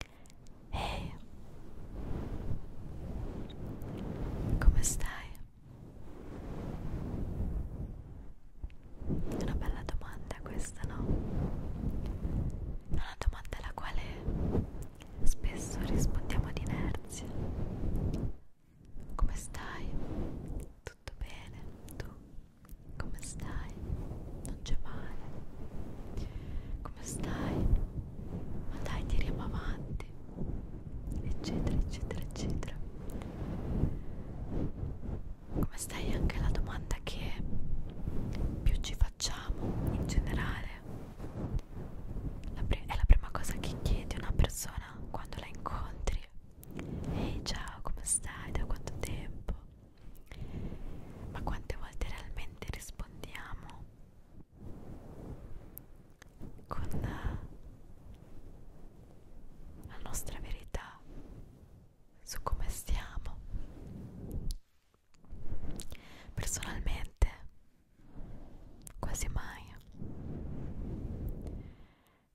Ehi, hey. come stai? È una bella domanda questa, no? È una domanda alla quale spesso rispondiamo ad inerzia. Come stai? Tutto bene? Tu? Come stai? Non c'è male? come stai? Ma dai, tiriamo avanti, eccetera, eccetera, eccetera. Come stai? Anche la domanda che più ci facciamo in generale la è la prima cosa che chiedi a una persona quando la incontri. Ehi, ciao, come stai? Da quanto tempo? ma quante volte realmente rispondiamo con eh, la nostra verità su come stiamo personalmente quasi mai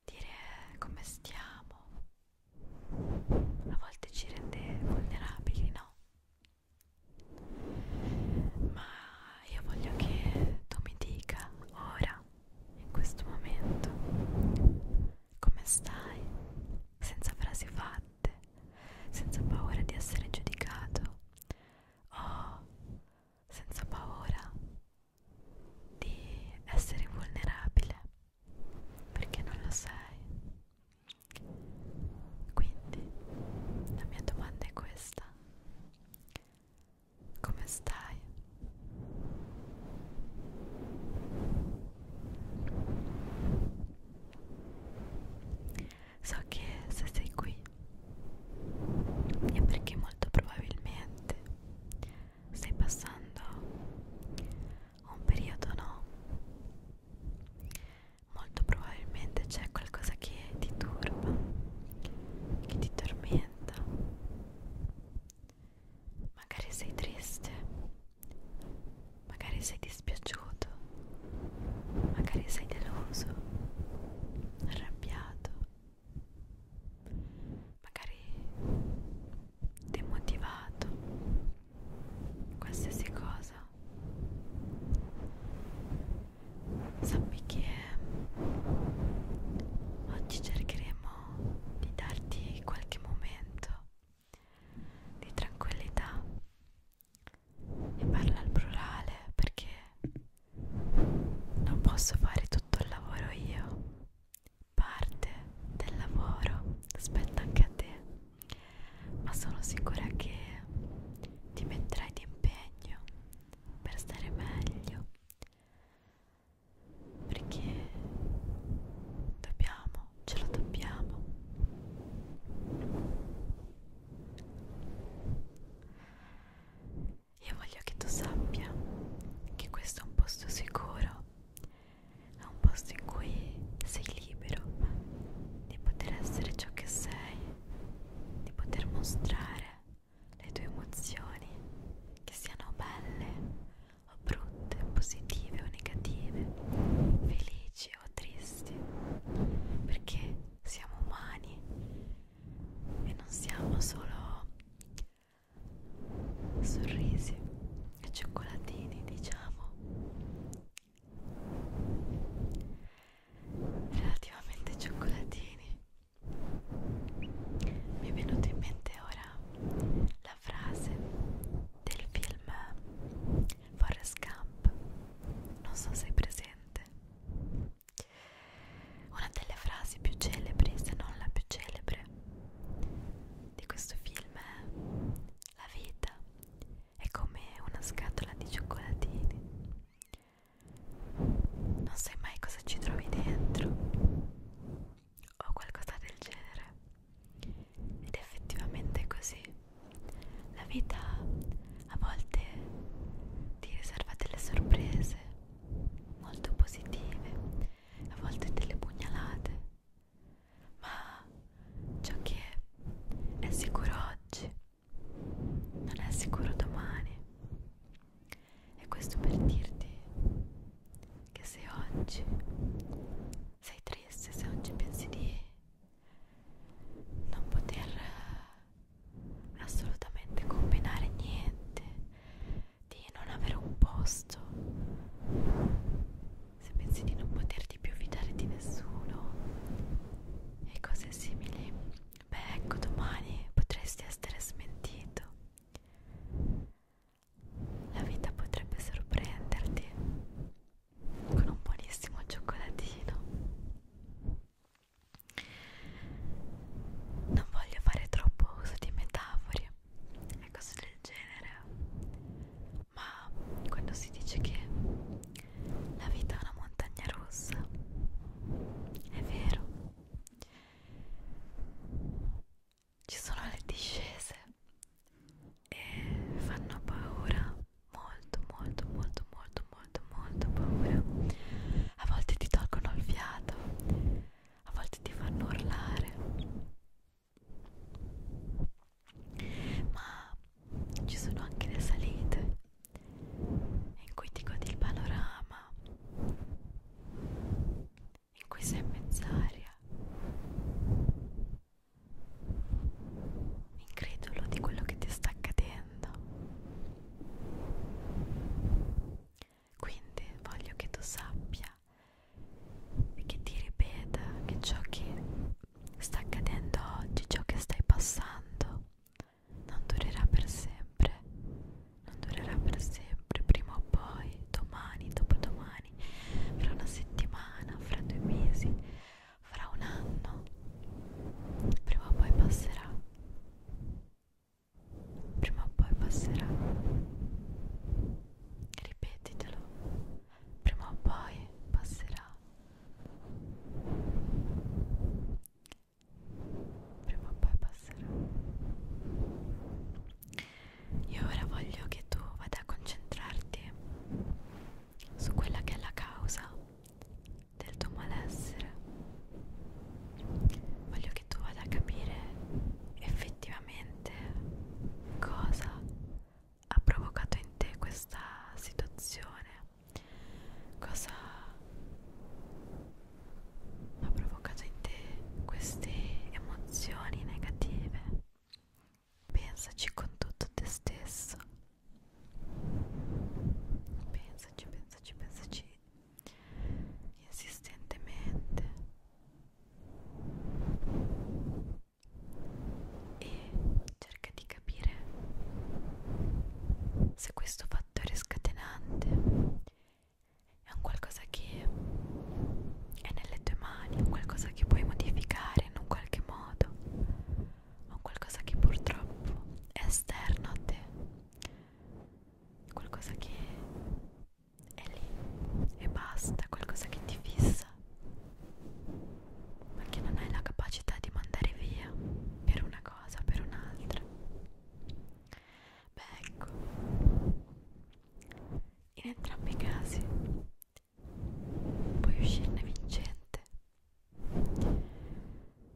dire come stiamo a volte ci rende vulnerabili no ma io voglio che tu mi dica ora, in questo momento, come stai, senza frasi fatte, senza paura di essere giudicato o senza paura di essere vulnerabile, perché non lo sei. Quindi la mia domanda è questa. Come stai? So che se sei qui è perché molto probabilmente stai passando un periodo no molto probabilmente c'è qualcosa che ti turba che ti tormenta magari sei triste magari sei dispiaciuto magari sei deluso arrabbiato magari demotivato qualsiasi cosa sappi che oggi cercheremo di darti qualche momento di tranquillità e parlo al plurale perché non posso fare tutto il lavoro io parte del lavoro spetta anche a te ma sono sicura che ti metterai d'impegno per stare meglio perché dobbiamo, ce lo dobbiamo. Io voglio che tu sappia che questo è un posto sicuro è un posto in cui sei libero di poter essere ciò che sei, di poter mostrare le tue emozioni, che siano belle o brutte, positive o negative, felici o tristi, perché siamo umani e non siamo solo sorrisi e cioccolatini, diciamo relativamente cioccolatini mi è venuta in mente ora la frase del film Forrest Gump non so se è presente una delle frasi più celebri se non la più celebre di questo film è la vita è come una scatola di cioccolatini. Non sai mai cosa ci trovi dentro o qualcosa del genere. Ed effettivamente è così. La vita a volte ti riserva delle sorprese molto positive, a volte delle pugnalate ma ciò che è sicuro oggi non è sicuro domani e questo per dirti che se oggi sei triste, se oggi pensi di non poter assolutamente combinare niente, di non avere un posto, se pensi di non poterti più fidare di nessuno e cose simili, beh ecco domani potresti essere smentito. La vita potrebbe sorprenderti con un buonissimo cioccolatino. Non voglio fare troppo uso di metafore, e cose del genere ma quando si dice che la vita è una montagna rossa è vero ci sono le discese e fanno paura molto molto molto molto molto molto paura a volte ti tolgono il fiato a volte ti fanno urlare ma ci sono anche le salite in cui ti godi il panorama in cui sei in mezz'aria incredulo di quello che ti sta accadendo quindi voglio che tu sappia che ti ripeta che ciò che sta accadendo oggi, ciò che stai passando, non durerà per sempre, non durerà per sempre, prima o poi, domani, dopodomani, fra una settimana, fra due mesi, fra un anno, prima o poi passerà. Prima o poi passerà. Ripetetelo prima o poi passerà prima o poi passerà io ora voglio che tu vada a concentrarti su quella che è la causa del tuo malessere voglio che tu vada a capire effettivamente cosa ha provocato in te questa situazione? Cosa ha provocato in te queste emozioni negative? Pensaci con tutto te stesso. Pensaci, pensaci, pensaci insistentemente e cerca di capire se questo fattore scatenante è un qualcosa che è nelle tue mani, è un qualcosa che puoi modificare in un qualche modo, è un qualcosa che purtroppo è esterno a te, qualcosa che è lì e basta, qualcosa che ti fissa, ma che non hai la capacità di mandare via per una cosa, per un'altra. Beh, ecco, in entrambi i casi puoi uscirne vincente.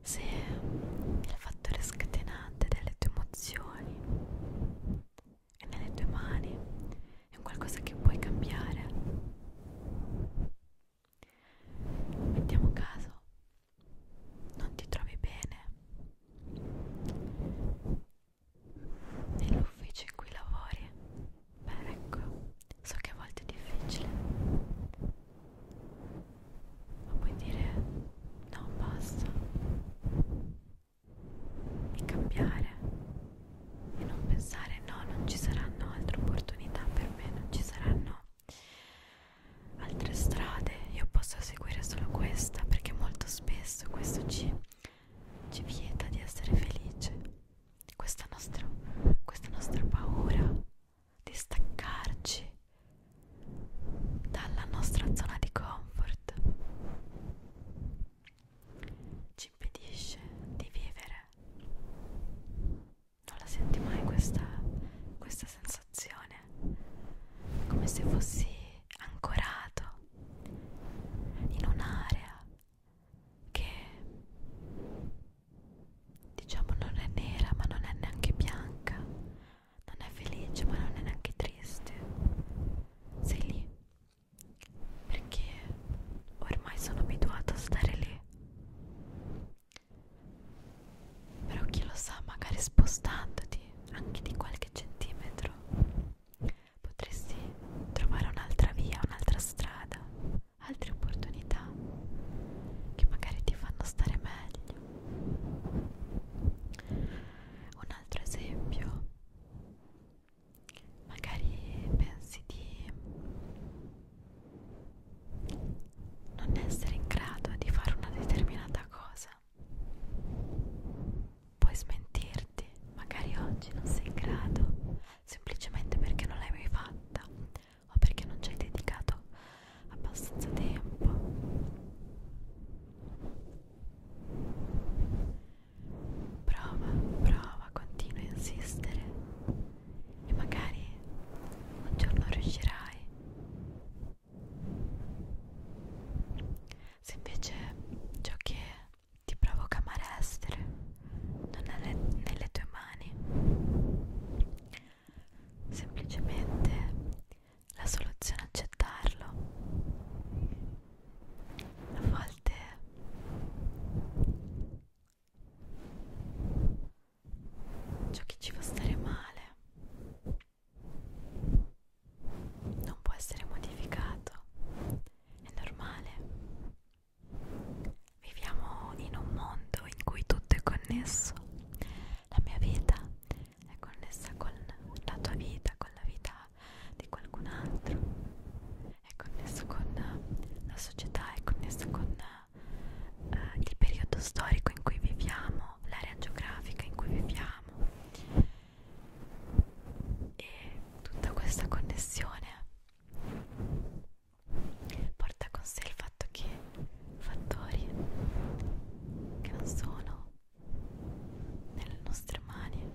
Se il fattore scatenante delle tue emozioni è nelle tue mani, è un qualcosa che puoi cambiare. Mettiamo caso, non ti trovi bene nell'ufficio in cui lavori. Beh, ecco, so che a volte è difficile, ma puoi dire no, basta e cambiare e non pensare no, non ci saranno altre opportunità per me, non ci saranno altre strade, io posso seguire solo questa perché molto spesso questo ci, ci vieta di essere felice, questa nostra, questa nostra paura di staccarci dalla nostra zona di comfort ci impedisce di vivere. Non la senti mai questa, questa sensazione? È come se fossi ancorato in un'area che diciamo non è nera ma non è neanche bianca, non è felice ma non è neanche triste. Sei lì perché ormai sono abituata a stare lì però chi lo sa magari spostandoti anche di qualche centimetro potresti trovare un'altra via un'altra strada altre opportunità che magari ti fanno stare meglio un altro esempio magari pensi di non essere in grado di fare una determinata cosa puoi smentirti magari oggi non sei in grado semplicemente perché non l'hai mai fatta o perché non ci hai dedicato abbastanza tempo Prova, prova, continua a insistere e magari un giorno riuscirai. Se invece ciò che ti provoca amare essere non è le, nelle tue mani, semplicemente la soluzione è accettarlo a volte ciò che ci fa stare male non può essere modificato è normale viviamo in un mondo in cui tutto è connesso la mia vita è connessa con la tua vita con la vita di qualcun altro è connesso con la società è connesso con eh, il periodo storico in cui viviamo l'area geografica in cui viviamo e tutta questa connessione porta con sé il fatto che fattori che non sono nelle nostre mani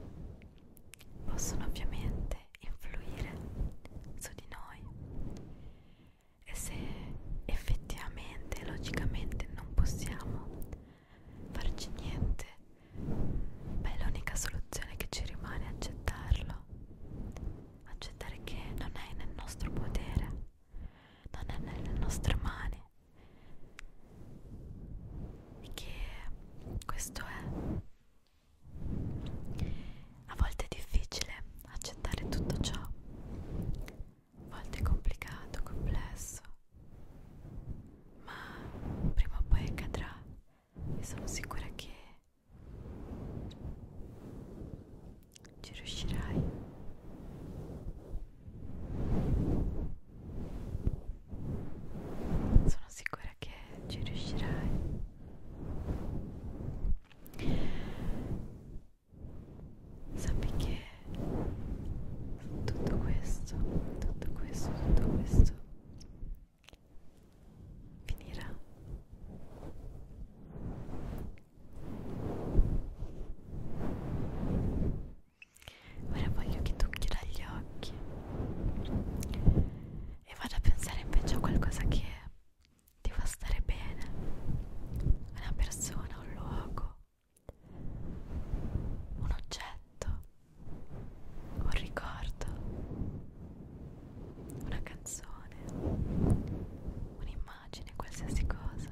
possono ovviamente influire su di noi e se effettivamente logicamente non possiamo farci niente beh l'unica soluzione che ci rimane è accettarlo accettare che non è nel nostro potere non è nelle nostre mani che questo è a volte è difficile accettare tutto ciò a volte è complicato, complesso ma prima o poi accadrà e sono sicura che ci riuscirai sono sicura che ci riuscirai. Sappi che tutto questo, tutto questo, tutto questo finirà. Ora voglio che tu chiuda gli occhi e vada a pensare invece a qualcosa che ti fa stare bene, una persona, un luogo, un oggetto, un ricordo, una canzone, un'immagine, qualsiasi cosa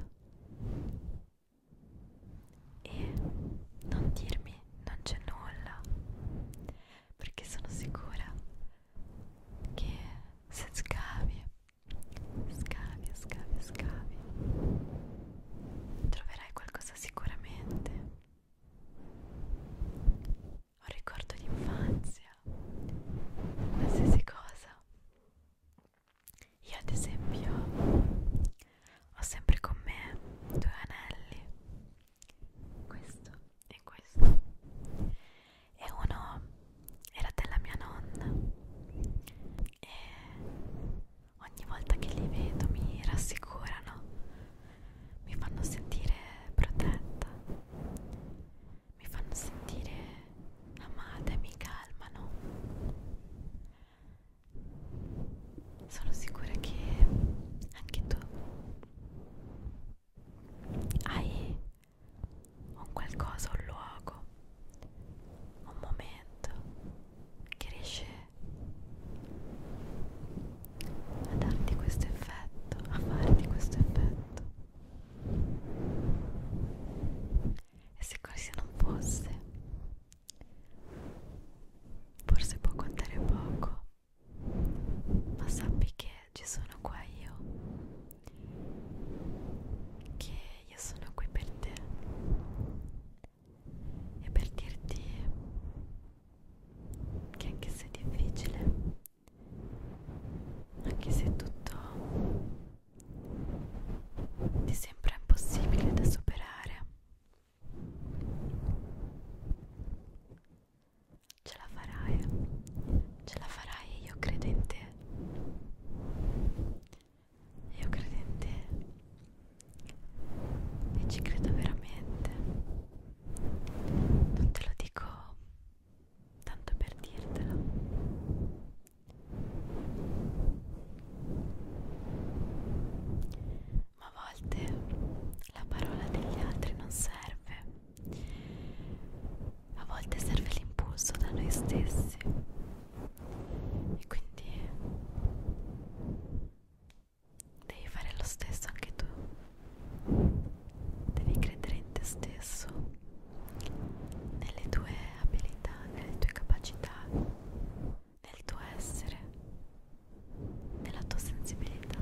e non dirmi non c'è nulla perché sono sicura che se scavi scavi scavi scavi troverai qualcosa sicuramente un ricordo di infanzia qualsiasi cosa io ad esempio ho sempre con me due anelli, questo e questo, e uno era della mia nonna e ogni volta che li vedo mi rassicurano, mi fanno sentire protetta, mi fanno sentire amata e mi calmano sono sicura che anche tu hai un qualcosa, un luogo, un momento che riesce a darti questo effetto, a farti questo effetto. E se così non fosse, Forse può contare poco, ma sappi che ci sono qua io, che io sono qui per te e per dirti che anche se è difficile, anche se tutto ti sembra impossibile da superare Ce la farai, ce la farai, io credo in te. Io credo in te e ci credo veramente. Non te lo dico tanto per dirtelo. Ma a volte la parola degli altri non serve, a volte serve l'impulso da noi stessi e quindi devi fare lo stesso anche tu, devi credere in te stesso, nelle tue abilità, nelle tue capacità nel tuo essere, nella tua sensibilità.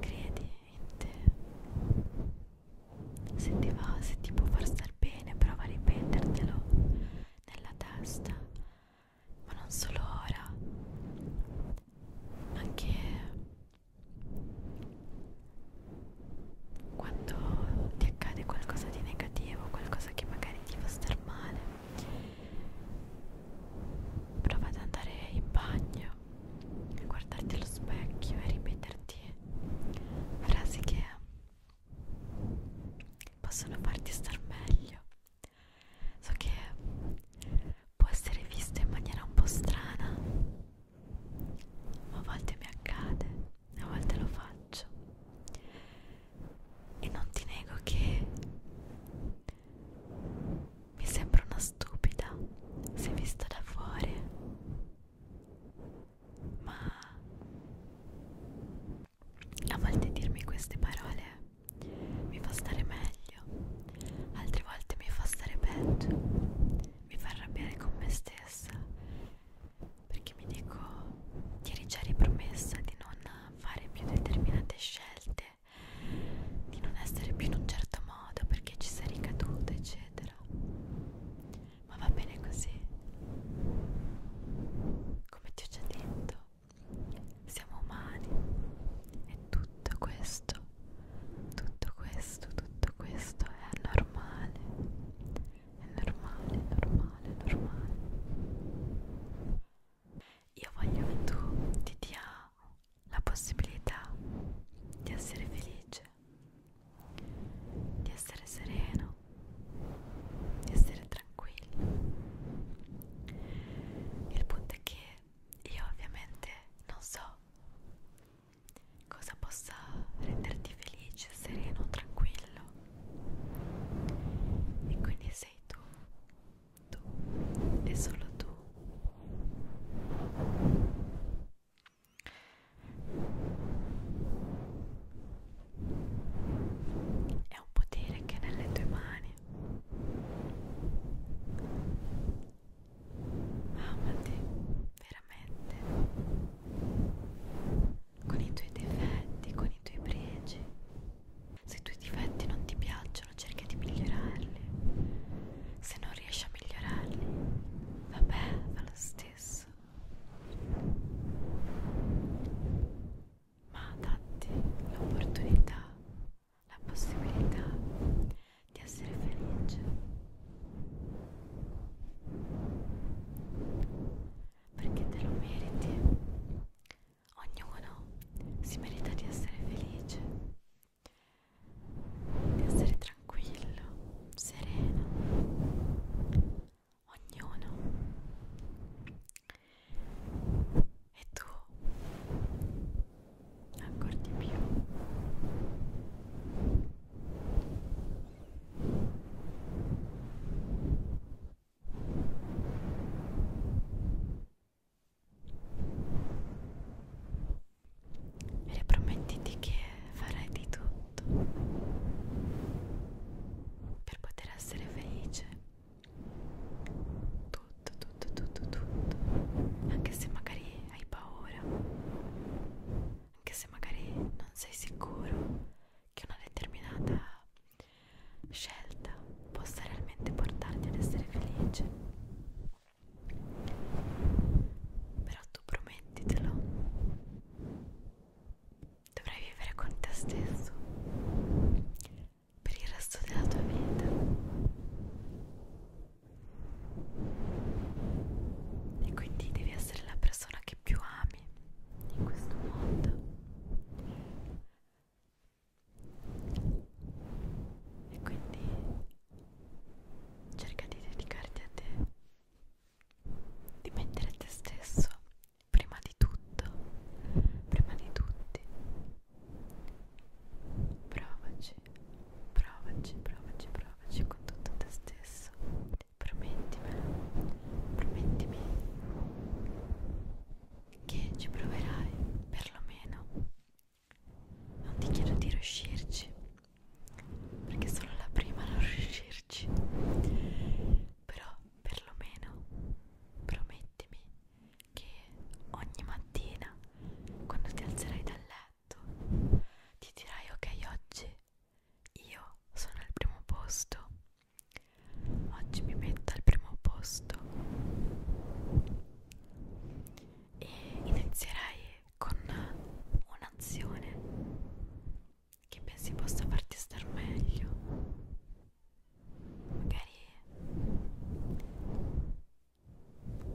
Credi in te. Se ti va, se ti può far star bene, prova a ripetertelo nella testa, ma non solo ora, anche quando ti accade qualcosa di negativo, qualcosa che magari ti fa star male, prova ad andare in bagno e guardarti allo specchio e ripeterti frasi che possono farti star meglio. So che può essere visto in maniera un po' strana, ma a volte mi accade a volte lo faccio e non ti nego che mi sembra una stupida se vista da fuori ma a volte dirmi queste parole mi fa stare meglio altre volte mi fa stare peggio mi fa arrabbiare con me stessa perché mi dico ti eri già ripromessa di non fare più determinate scelte di non essere più in un certo modo perché ci sei ricaduta eccetera ma va bene così come ti ho già detto siamo umani e tutto questo tutto questo tutto questo è normale è normale, è normale, è normale io voglio che tu ti dia la possibilità di essere felice di essere sereno di essere tranquillo il punto è che io ovviamente non so cosa possa renderti felice, sereno, tranquillo. E quindi sei tu, tu e solo tu. È un potere che è nelle tue mani amati veramente con i tuoi difetti, con i tuoi pregi. Se i tuoi difetti non ti piacciono, cerca di migliorarli. Se non riesci a migliorarli, vabbè, va lo stesso. Ma datti l'opportunità, la possibilità di essere felice perché te lo meriti ognuno si merita di essere felice di essere tranquillo sereno ognuno e tu ancora di più e promettiti che farai di tutto per poter essere felice tutto tutto tutto tutto anche se magari hai paura anche se magari non sei sicuro che una determinata scelta possa realmente portarti ad essere felice però tu promettitelo dovrai vivere con te stesso per il resto della tua vita e quindi devi essere la persona che più ami in questo mondo e quindi cerca di dedicarti a te di mettere te stesso prima di tutto prima di tutti provaci provaci, provaci, provaci con tutto te stesso promettimelo promettimi che ci proverai perlomeno non ti chiedo di riuscirci perché solo la prima non riuscirci però perlomeno promettimi che ogni mattina quando ti alzerai da letto letto ti dirai ok oggi io sono al primo posto oggi mi metto al primo posto e inizierai con un'azione che pensi possa farti star meglio magari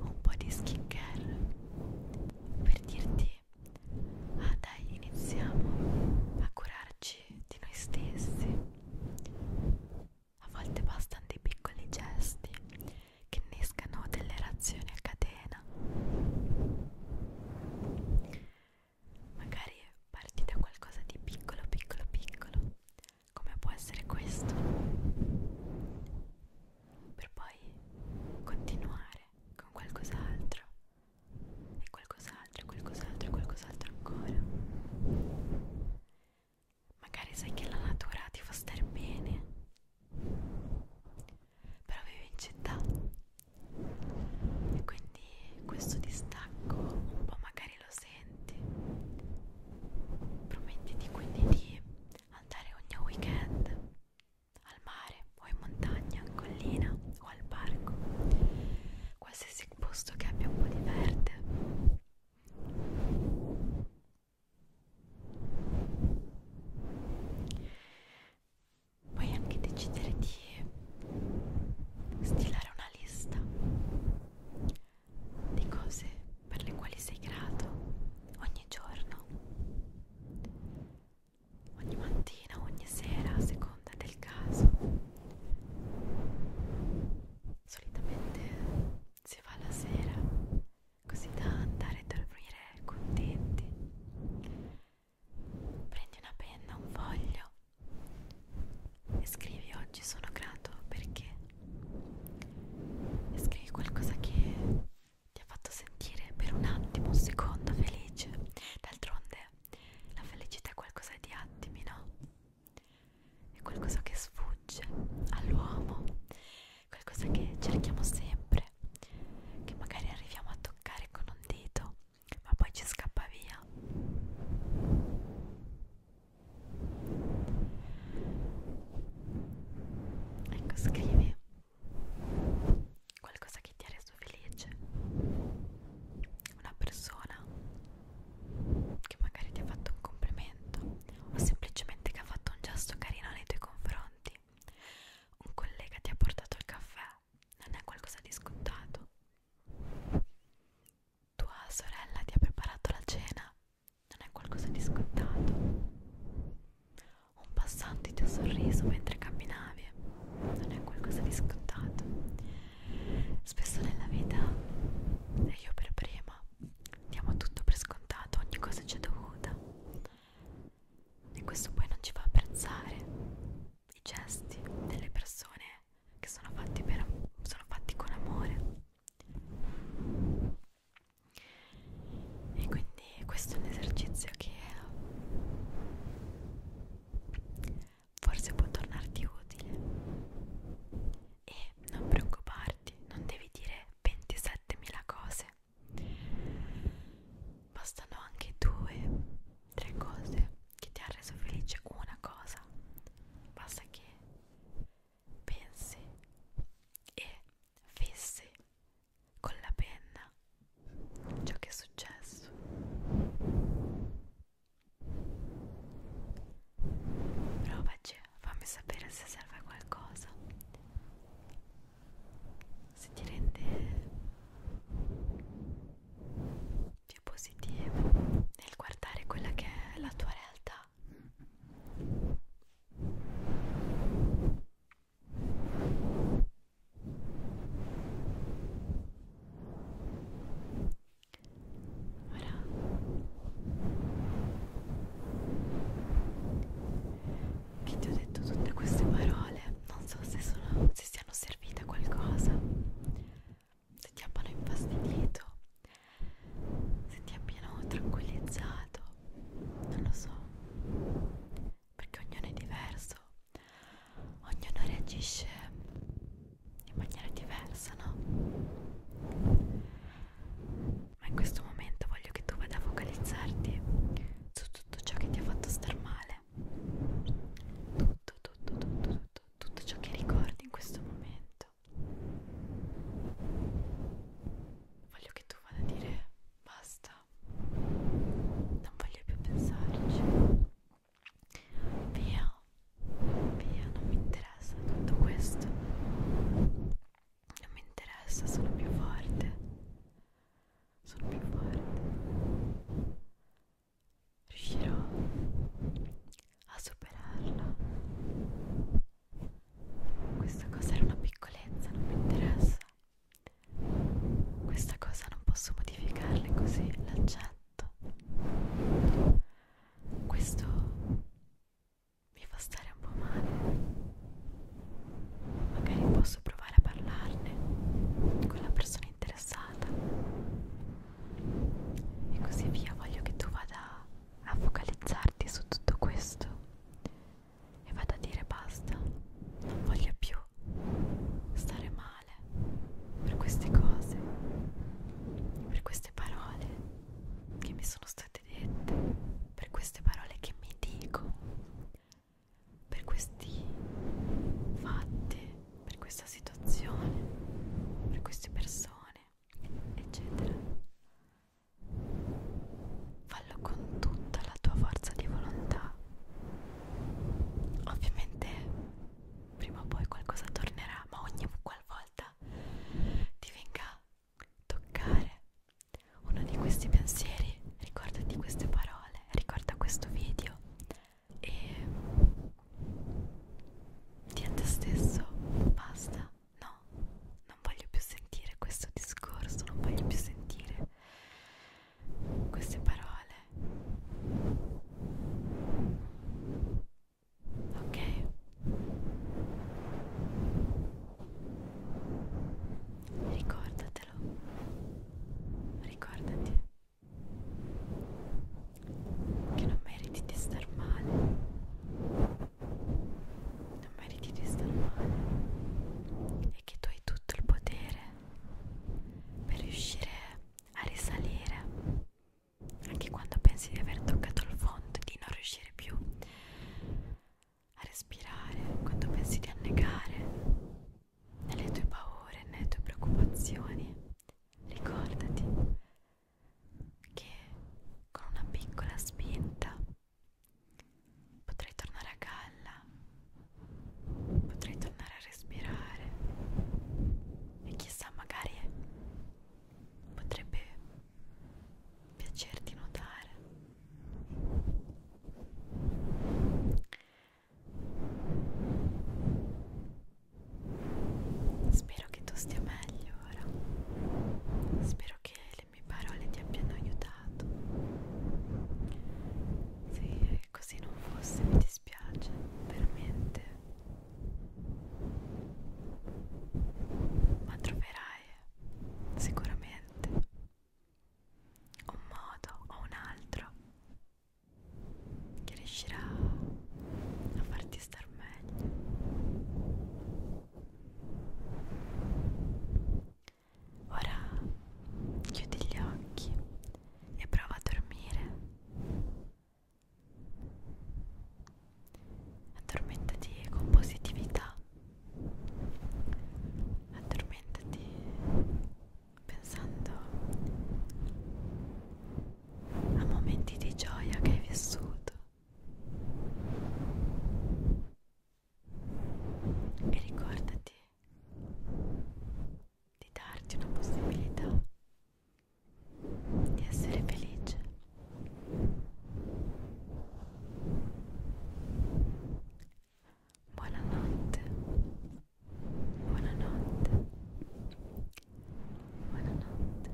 un po' di skincare per dirti ah dai iniziamo a curarci di noi stessi a volte bastano dei piccoli gesti che innescano delle reazioni a catena magari parti da qualcosa di piccolo piccolo piccolo come può essere questo per poi continuare con qualcos'altro e qualcos'altro e qualcos'altro e qualcos'altro ancora magari sai che la natura ti fa stare bene però vivi in città e quindi questo distacco un po' magari lo senti promettiti quindi di andare ogni weekend al mare o in montagna, in collina o al parco, qualsiasi posto che abbia un po' di verde. Puoi anche decidere di stilare una lista di cose per le quali sei grato ogni giorno ogni mattina, ogni sera, a seconda del caso. Solitamente si va la sera, così da andare a dormire contenti. Prendi una penna, un foglio e scrivi oggi sono grato perché e scrivi qualcosa che ti ha fatto sentire per un attimo, un secondo felice. D'altronde la felicità è qualcosa di attimi, no? È qualcosa che sfugge all'uomo, qualcosa che cerchiamo sempre, che magari arriviamo a toccare con un dito, ma poi ci scappa via. Ecco, scrivi te qualcosa che ti ha reso felice una persona che magari ti ha fatto un complimento o semplicemente che ha fatto un gesto carino nei tuoi confronti un collega ti ha portato il caffè non è qualcosa di scontato tua sorella ti ha preparato la cena non è qualcosa di scontato. Un passante ti ha sorriso mentre camminavi, non è qualcosa di scontato. Spesso nella vita, e io per prima, diamo tutto per scontato, ogni cosa ci è dovuta. E questo poi non ci fa apprezzare i gesti delle persone che sono fatti, per, sono fatti con amore e quindi questo è un esercizio che forse può tornarti utile e non preoccuparti non devi dire 27.000 cose bastano anche due tre cose che ti ha reso felice una cosa basta che pensi e fissi con la penna ciò che è successo. Provaci, fammi sapere se serve a qualcosa. Se ti rende più positivo nel guardare quella che è la tua realtà Ora che ti ho detto tutte queste parole, non so se, sono, se siano servite a qualcosa, se ti abbiano infastidito, se ti abbiano tranquillizzato, non lo so, perché ognuno è diverso, ognuno reagisce in maniera diversa, no? Ma in questo momento voglio che tu vada a focalizzarti su tutto ciò che ti ha fatto star male, tutto, tutto, tutto, tutto, tutto ciò che ricordi in questo momento. Voglio che tu vada a dire basta, non voglio più pensarci. Via, via, non mi interessa tutto questo. Non mi interessa, sono più forte. Sono più forte. Riuscirò a superarla questa cosa era una piccolezza, non mi interessa. Questa cosa non posso modificarla così l'accetto. Questo mi fa stare un po' male. Magari posso provare a parlarne con la persona interessata. E così via, voglio che tu vada a focalizzarti su tutto questo e vado a dire basta, non voglio più stare male per queste cose, per queste parole che mi sono state dette, per queste parole che mi dico, per questi fatti, per questa situazione, per queste persone, eccetera fallo con tutta la tua forza di volontà. Ovviamente prima o poi qualcosa tornerà, ma ogni qualvolta ti venga a toccare uno di questi pensieri, ricordati queste parole, ricorda questo video e di a te stesso basta no, non voglio più sentire questo discorso, non voglio più sentire queste parole. Ok. Ricordatelo. Ricordati che non meriti di star male non meriti di star male e che tu hai tutto il potere per riuscire a risalire anche quando pensi di aver toccato il fondo di non riuscire più a respirare quando pensi di annegare nelle tue paure nelle tue preoccupazioni ricordati che con una piccola spinta potrei tornare a galla, potrei tornare a respirare e chissà magari potrebbe piacerti notare. Spero che tu stia meglio ora. Spero che le mie parole ti abbiano aiutato. Se così non fosse mi dispiace, veramente. Ma troverai sicuramente un modo o un altro che riuscirà a farti star meglio Ora chiudi gli occhi e prova a dormire. Addormentati con positività. Addormentati pensando a momenti di gioia che hai vissuto e ricordati di darti una possibilità di essere felice buonanotte buonanotte buonanotte